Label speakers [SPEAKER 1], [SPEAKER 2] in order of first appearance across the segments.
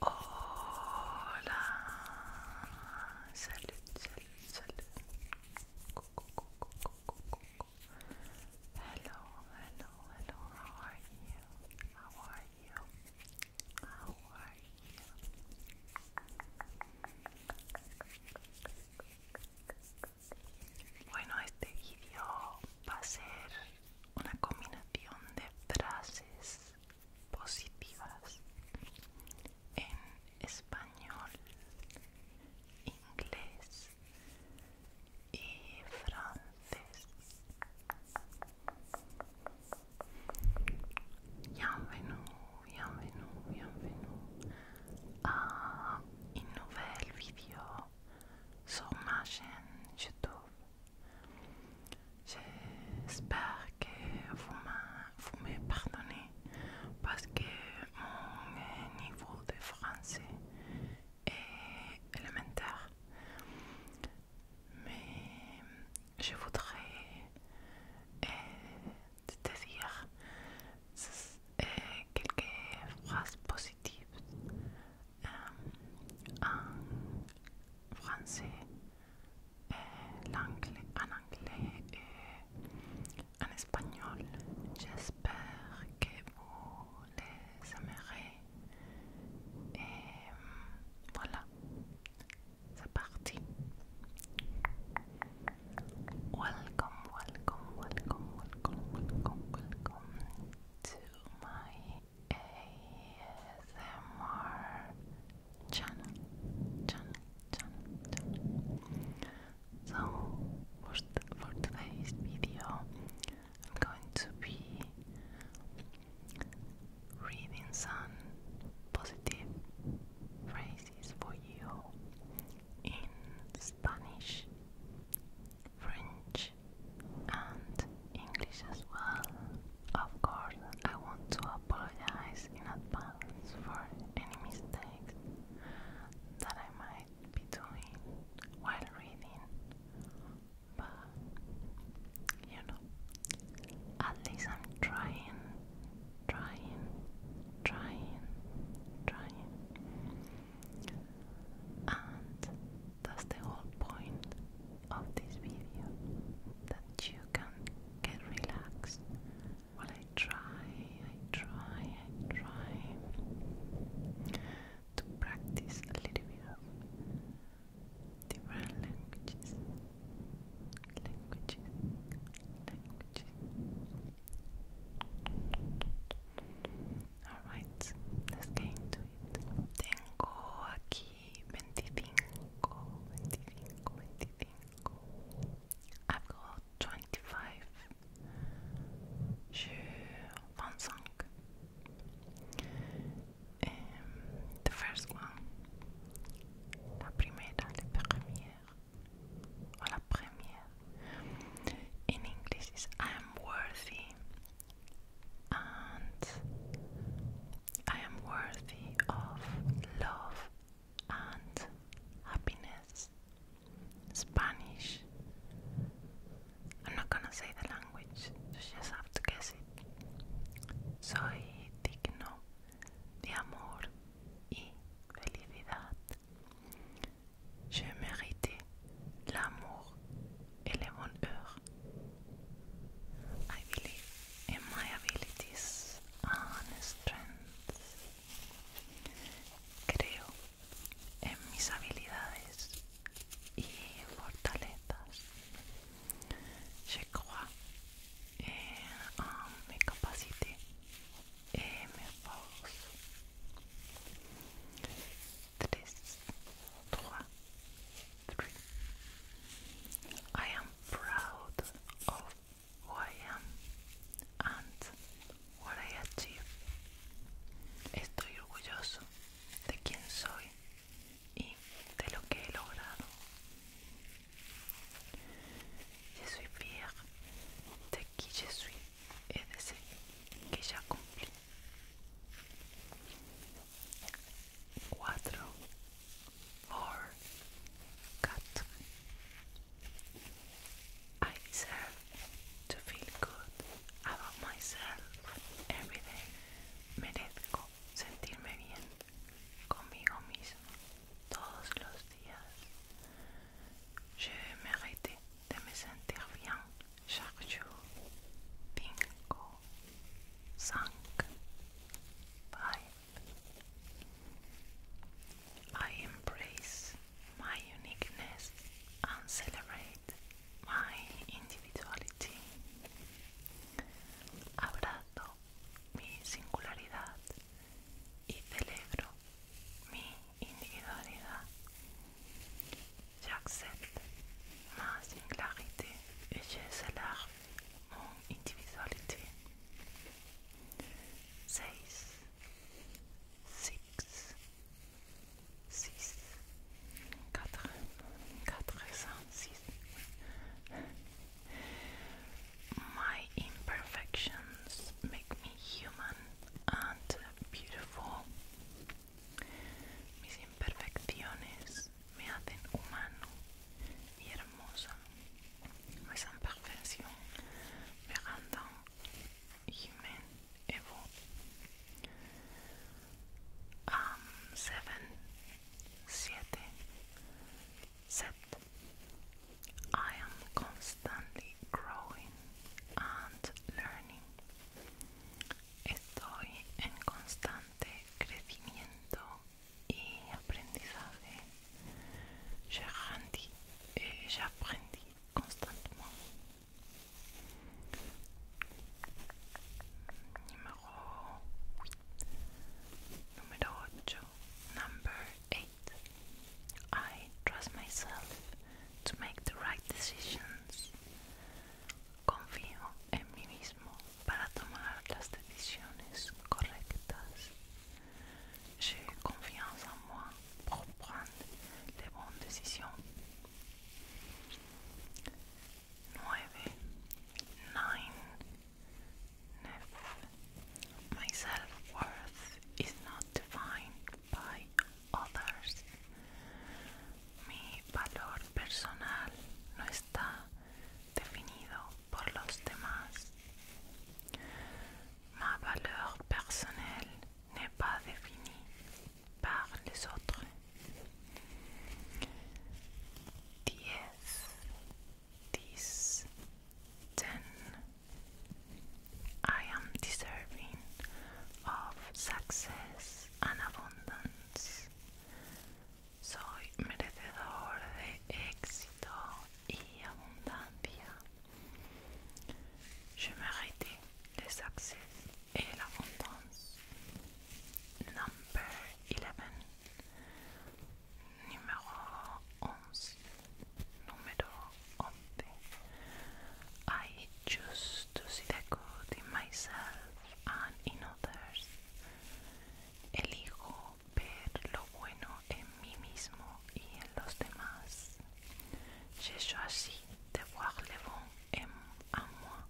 [SPEAKER 1] Hola, salud, salud, salud. Hello, hello, hello. How are you? How are you? How are you? Bueno, este video va a ser una combinación de frases positivas en español, inglés y francés. Bienvenue, bienvenue, bienvenue a un nuevo video Son más en YouTube J'espère que vous me pardonnez parce que mon niveau de français est élémentaire. Mais je voudrais te dire quelques phrases positives euh, en français, euh, en anglais et en espagnol. J'espère que vous les aimerez. Et voilà, c'est parti. Welcome, welcome, welcome, welcome, welcome, welcome to my ASMR channel, channel, channel, channel. So for, today's video, I'm going to be reading some positive phrases for you in Spanish. French and English as well. Of course, I want to apologize in advance for any mistakes that I might be doing while reading, but you know, at least I'm trying, trying, trying, trying. And that's the whole point of this video, that you can get relaxed. while I try, I try, I try to practice a little bit of different languages, languages, languages. Alright, let's get into it. Tengo aquí 25, 25, I've got 25 sur um, the first one, la primera, la première, or la première, in English is I am worthy and I am worthy of love and happiness. Spanish. I'm not gonna say the language, you just have to guess it. Soy digno de amor y felicidad. Je mérite l'amour et le bonheur. I believe in my abilities and strengths. Creo en mis habilidades y fortalezas. Je en eh, um, mes capacités et eh, mes tres, trois, I am proud of who I am and what I achieve. Estoy orgulloso de quién soy y de lo que he logrado. Je suis fiel de quién je suis, de decir, que ya cumplí. quatro, four, cut. I deserve to feel good about myself every day. Merezco sentirme bien conmigo mismo todos los días. Je mérite de me sentir bien Shakju, Bingo, I embrace my uniqueness and celebrate my individuality. Abrazo mi singularidad y celebro mi individualidad. J'accepte ma singularité et je mon individualité. 6 6 4 six. My imperfections make me human and beautiful. Mis imperfecciones me hacen humano y hermosa. Mis imperfecciones me random y me evo Um, seven, siete, set. I am constantly growing and learning. Estoy en constante crecimiento y aprendizaje. J'agrandis et j'aprendis eh, constamment. Número 8. Número Number 8. I trust myself to make the right decisions. Confío en mí mismo para tomar las decisiones correctas. J'ai confiance en moi pour prendre les bonnes décisions. 9. My self-worth is not defined by mi valor personal no está definido por los demás. Ma valeur personnelle n'est pas définie par les autres. 10 I am deserving of success an abundance. Soy merecedor de éxito y abundancia. Je mérite le succès et l'abondance. Number 11. Número 11. Número 11. I choose to see the good in myself and in others. Elijo ver lo bueno en mí mismo y en los demás. Je choisis de voir le bon en, moi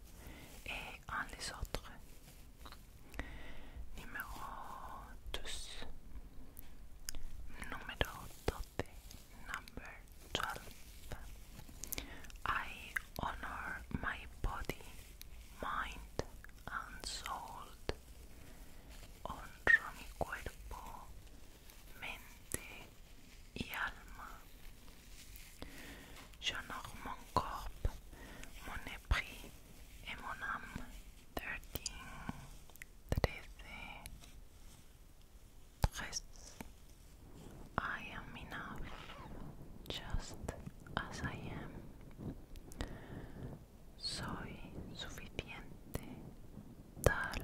[SPEAKER 1] et en les autres. Numéro 12. 12. I honor my body, mind and soul. Honro mi cuerpo, mente y alma. J'honore mon corps, mon esprit et mon âme. 13. 13 rests. I am enough, just as I am. Soy suficiente, tal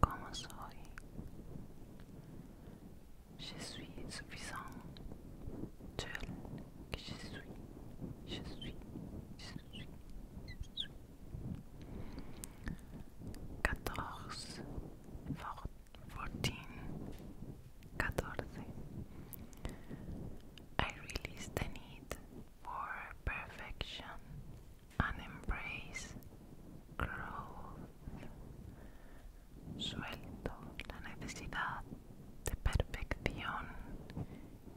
[SPEAKER 1] como soy. Je suis suffisant, tel que je suis. Je suis, je suis, je suis. Quatorze, forte. 14, 14. I release the need for perfection and embrace growth. Suelto la necesidad de perfección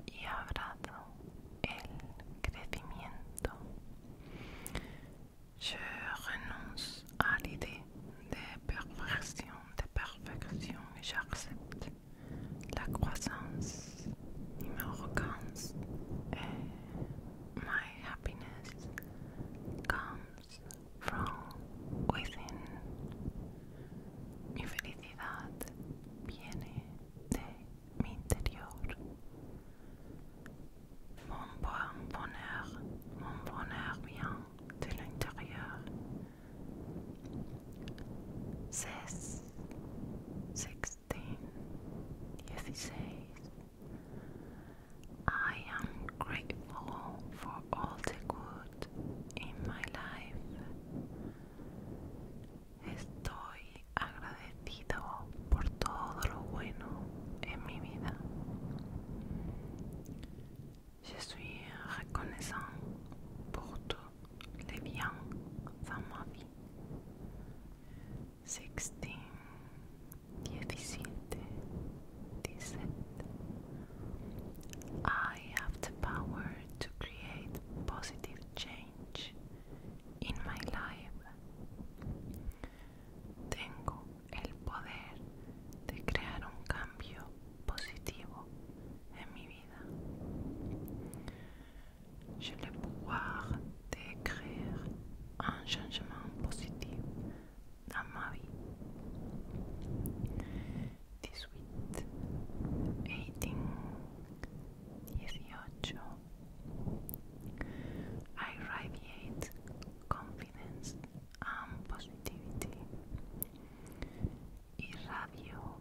[SPEAKER 1] y abrazo el crecimiento. Je renonce à l'idée des perversions, des perfections et j'accepte la croissance, mon arrogance my happiness comes from within. Mi felicidad viene de mi interior. Mon bonheur, mon bonheur vient de l'intérieur. Six, sixteen, says, I am grateful for all the good in my life. Estoy agradecido por todo lo bueno en mi vida. Je suis reconnaissant pour tous les biens dans ma vie. Sixteen, I have the power to create positive change in my life. Tengo el poder de crear un cambio positivo en mi vida. je le pouvoir de créer un changement positif dans ma vie. 18, 18, 18. I radiate confidence and positivity. Irradio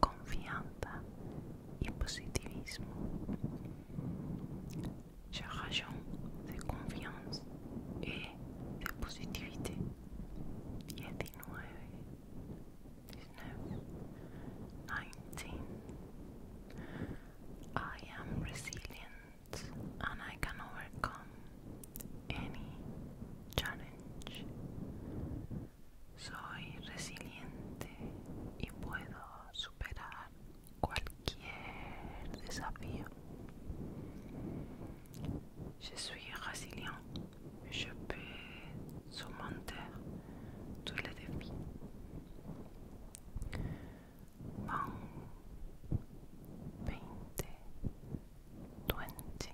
[SPEAKER 1] confianza y positivismo. Charageons de confiance et de positivité. 19, 19. I am resilient and I can overcome any challenge. Soy resiliente y puedo superar cualquier desafío. Je suis résilient. Je peux surmonter tous les défis mão, twenty, twenty.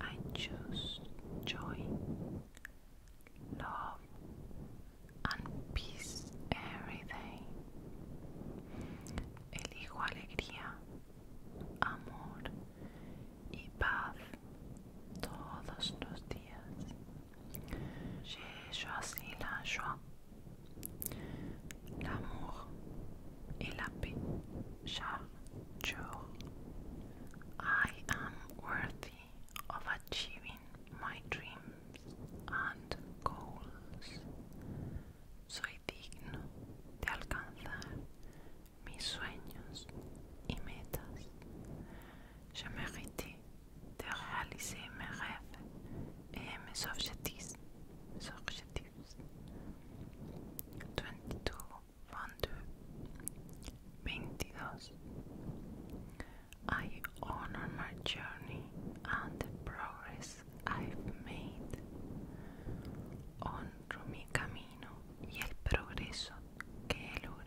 [SPEAKER 1] I choose joy, love, and peace every day. Elijo alegría, amor y paz todos los días. J'ai choisi la joie, I am worthy of achieving my dreams and goals. Soy digno de alcanzar mis sueños y metas. Je mérite de realizar mes rêves 22, 22, I honor my journey and the progress I've made. on mi camino y el progreso que he logrado.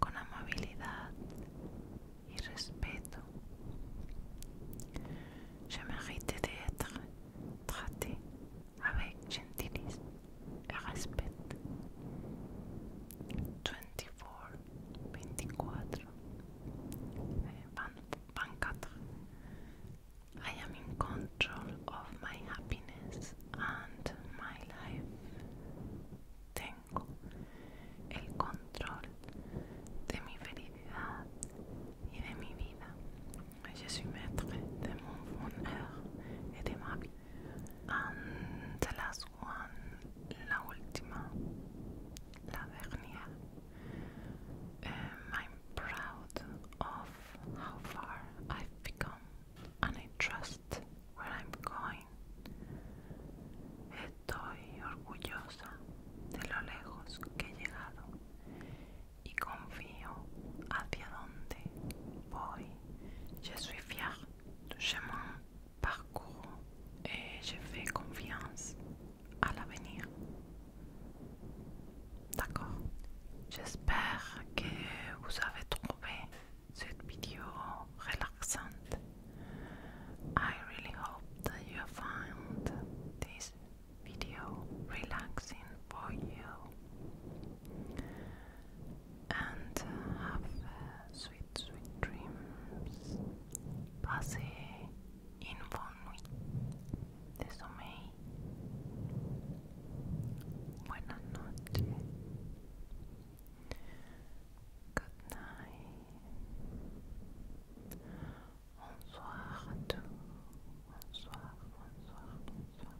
[SPEAKER 1] con amabilidad y respeto. Je mérite d'être traité avec gentillesse et respect. 24, 24, 24. I am in control of my happiness and my life tengo el control de mi felicidad y de mi vida. Je suis maître de mon bonheur et de ma vie. Y la última, la última, la dernière. Um, I'm proud of how far I've become and I trust où where I'm going. Estoy orgullosa de lo lejos que he llegado y confío hacia dónde voy. Je suis fière du chemin parcouru et je fais confiance à l'avenir. D'accord. J'espère que vous avez trouvé sweet video or I really hope that you found this video relaxing for you and have sweet, sweet dreams. Passez une bonne nuit de sommeil. Buenas Good night. Bonsoir à Bonsoir, bonsoir, bonsoir.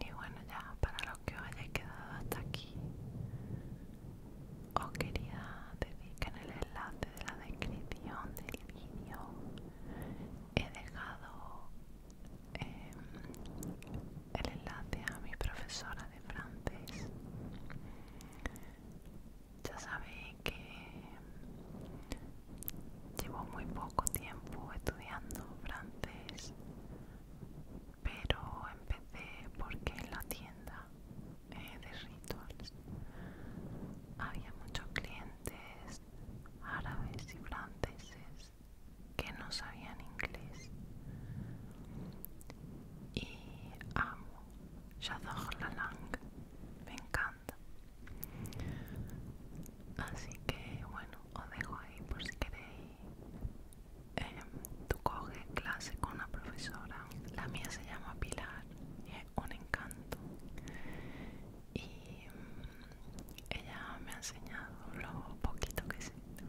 [SPEAKER 1] Y bueno, ya para los que os haya quedado hasta aquí, os quería dedicar en el enlace de la descripción del he dejado em, el enlace a mi profesora de francés. Ya sabéis que llevo muy poco tiempo estudiando francés, pero empecé porque en la tienda eh, de Rituals había muchos clientes árabes y franceses que no sabían inglés y amo J'adore la langue me encanta así que bueno os dejo ahí por si queréis em, tú coges clase con una profesora la mía se llama Pilar un encanto y mm, ella me ha enseñado lo poquito que sé de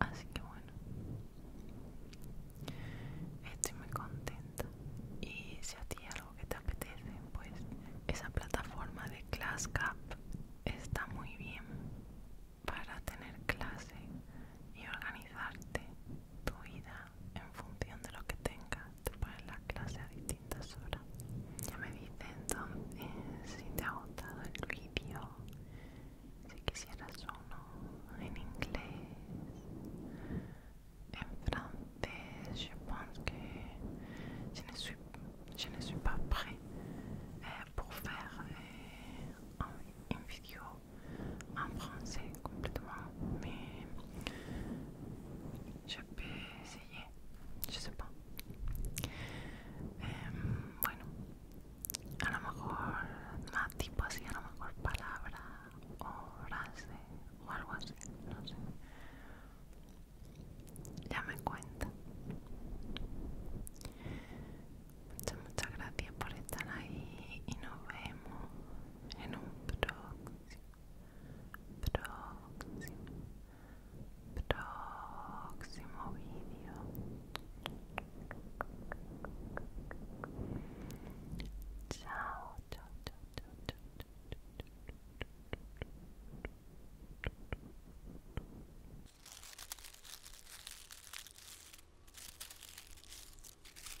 [SPEAKER 1] así que bueno estoy muy contenta y si a ti algo que te apetece pues esa plataforma de ClassCap está muy bien para tener clase y organizarte tu vida en función de lo que tengas, te pones la clase a distintas horas. Ya me dice entonces eh, si te ha gustado el vídeo, si quisieras uno en inglés, en francés, je pense que je ne suis, je ne suis pas prêt eh, eh, un, un vídeo en francés completamente em, bueno, a lo mejor más tipo así, a lo mejor palabra o frase o algo así, no sé. Ya me cuenta. Muchas, muchas gracias por estar ahí y nos vemos Henüz bedagsın, bedagsın, bedagsın o video. Ciao, ciao, ciao, ciao, ciao, ciao.